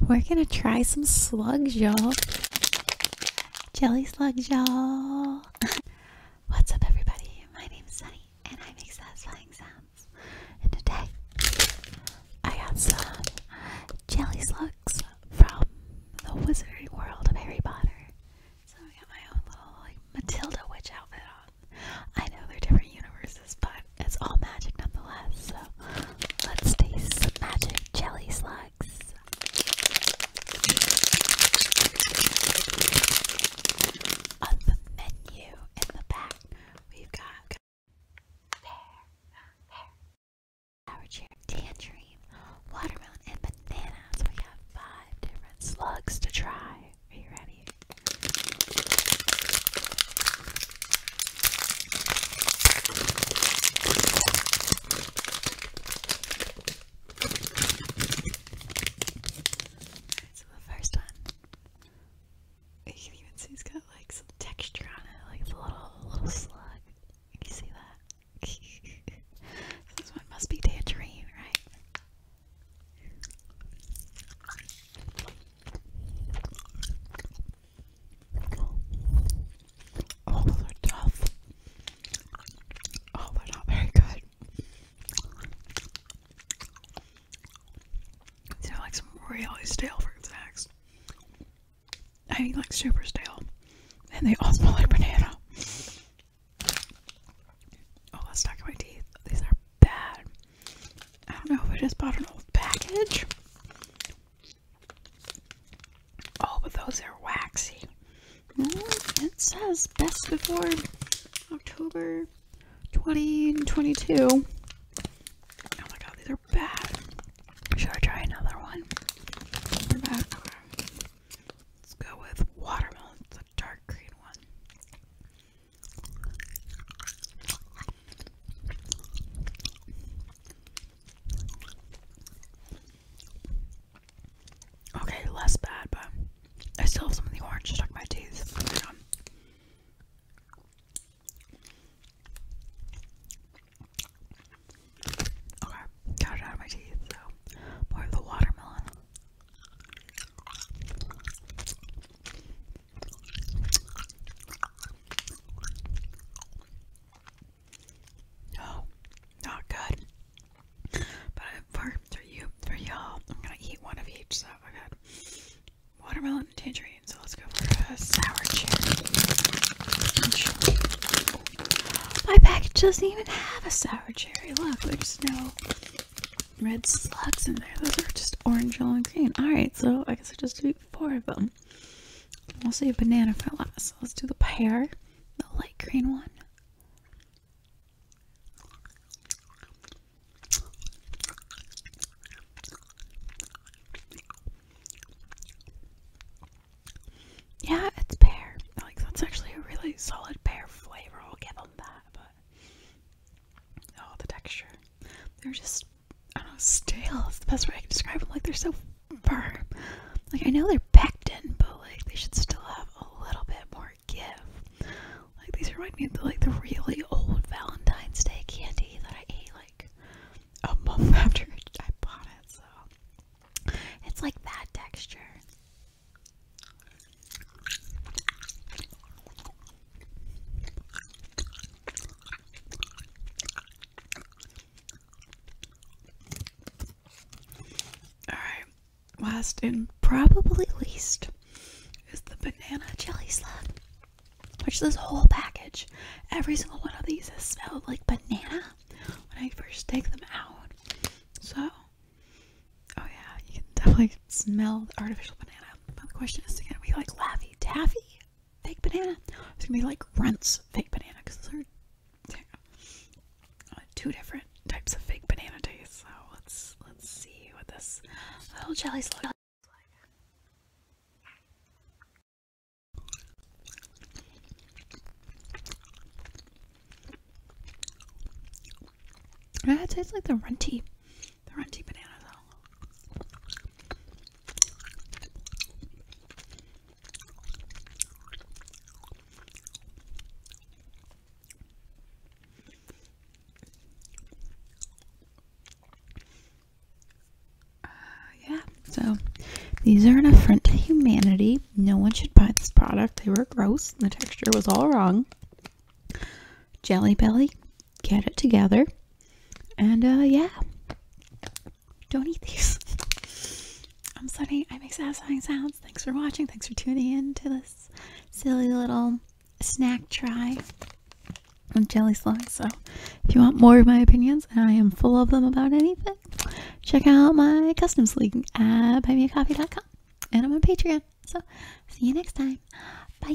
We're gonna try some slugs, y'all. Jelly slugs, y'all. What's up, everybody? My name is Sunny, and I make satisfying sounds. And today, I got some jelly slugs from the Wizarding World of Harry Potter. So I got my own little like Matilda witch outfit on. I know they're different universes, but it's all magic nonetheless. So let's taste some magic jelly slugs. On the menu in the back, we've got pear, pear, sour cherry, tangerine, watermelon, and banana. So we got five different slugs to try. Are you ready? so the first one, you can even see it's got like some texture on it, like a little, little slug. Can you see that? so this one must be tangerine, right? Oh, those are tough. Oh, they're not very good. These like some really stale fruit snacks. I mean, like super stale. And they all smell like banana. Oh, let's talk about my teeth. These are bad. I don't know if I just bought an old package. Oh, but those are waxy. Mm, it says best before October 2022. Oh my god, these are bad. Should I try another one? They're bad. Let's go with watermelon. It's a dark green one. Okay, less bad, but I still have some of the orange stuck in my teeth. okay, got it out of my teeth, so more of the watermelon. Oh, not good. But for you, for y'all, I'm gonna eat one of each. So I got watermelon and tangerine. So let's go for a sour cherry. My package doesn't even have a sour cherry. Look, there's no red slugs in there. Those are just orange, yellow, and green. Alright, so I guess I just do four of them. We'll see if banana for last. So let's do the pear, the light green one. Yeah, it's pear. Like that's actually a really solid pear flavor. I'll give them that. Oh, the texture. They're just, I don't know, stale. It's the best way I can describe them. Like, they're so firm. Like, I know they're packed in, but, like, they should still have a little bit more give. Like, these remind me of, the, like, the really old Valentine's Day candy that I ate, like, a month after I bought it, so. It's like that texture. All right, last and probably least is the banana jelly slug, which this whole package, every single one of these has smelled like banana when I first take them out. So Oh yeah, you can definitely smell the artificial banana. But the question is, gonna be like Laffy Taffy fake banana? It's gonna be like Runt's fake banana because those are uh, two different types of fake banana taste. So let's let's see what this little jelly's slug like. That tastes like the runty, the runty banana though. Uh, yeah, so these are an affront to humanity no one should buy this product. They were gross. The texture was all wrong. Jelly Belly, get it together. And uh yeah. Don't eat these. I'm Sunny. I make satisfying sounds. Thanks for watching. Thanks for tuning in to this silly little snack try on jelly slugs. So if you want more of my opinions, and I am full of them about anything, check out my custom sleek at buymeacoffee.com and I'm on Patreon. So, see you next time. Bye.